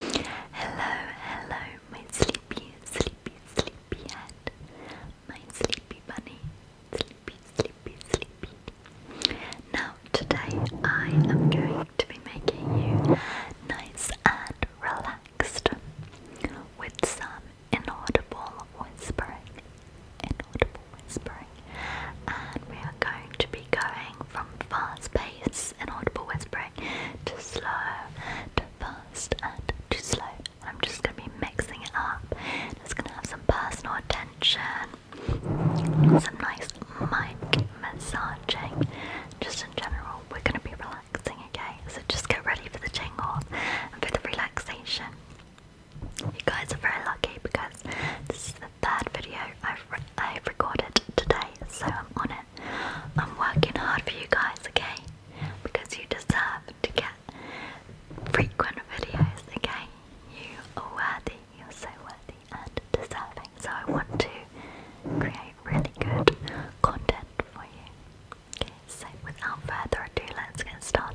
Hello, hello, my sleepy, sleepy, sleepy head, my sleepy bunny, sleepy, sleepy, sleepy. Now, today I am going to be making you nice and relaxed with some inaudible whispering, inaudible whispering, and we are going to be going from fast pace inaudible whispering going to slow to fast and to slow. I'm just going to be mixing it up. And it's going to have some personal attention, some nice mic massaging. Just in general, we're going to be relaxing, okay? So just get ready for the jingle and for the relaxation. You guys are very lucky because this is the third video I've, I've recorded today, so I'm on it. I'm working hard for you guys, okay? Because you deserve to get frequent videos, okay? You are worthy, you're so worthy and deserving. So I want to create really good content for you. Okay, so without further ado, let's get started.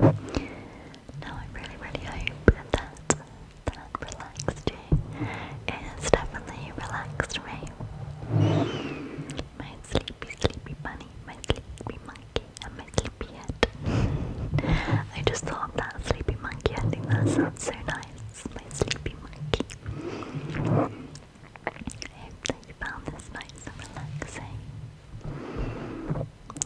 Now I really, really hope that that relaxed you. It definitely relaxed me. My sleepy, sleepy bunny, my sleepy monkey, and my sleepy head. I just thought that sleepy monkey. I think that sounds so nice. It's my sleepy monkey. I hope that you found this nice and relaxing.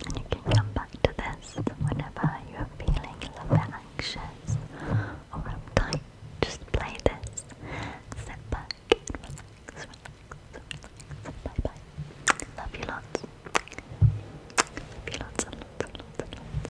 And you can come back to this whenever you are feeling a little bit anxious or uptight. Just play this. Sit back Love you lots. Love you lots.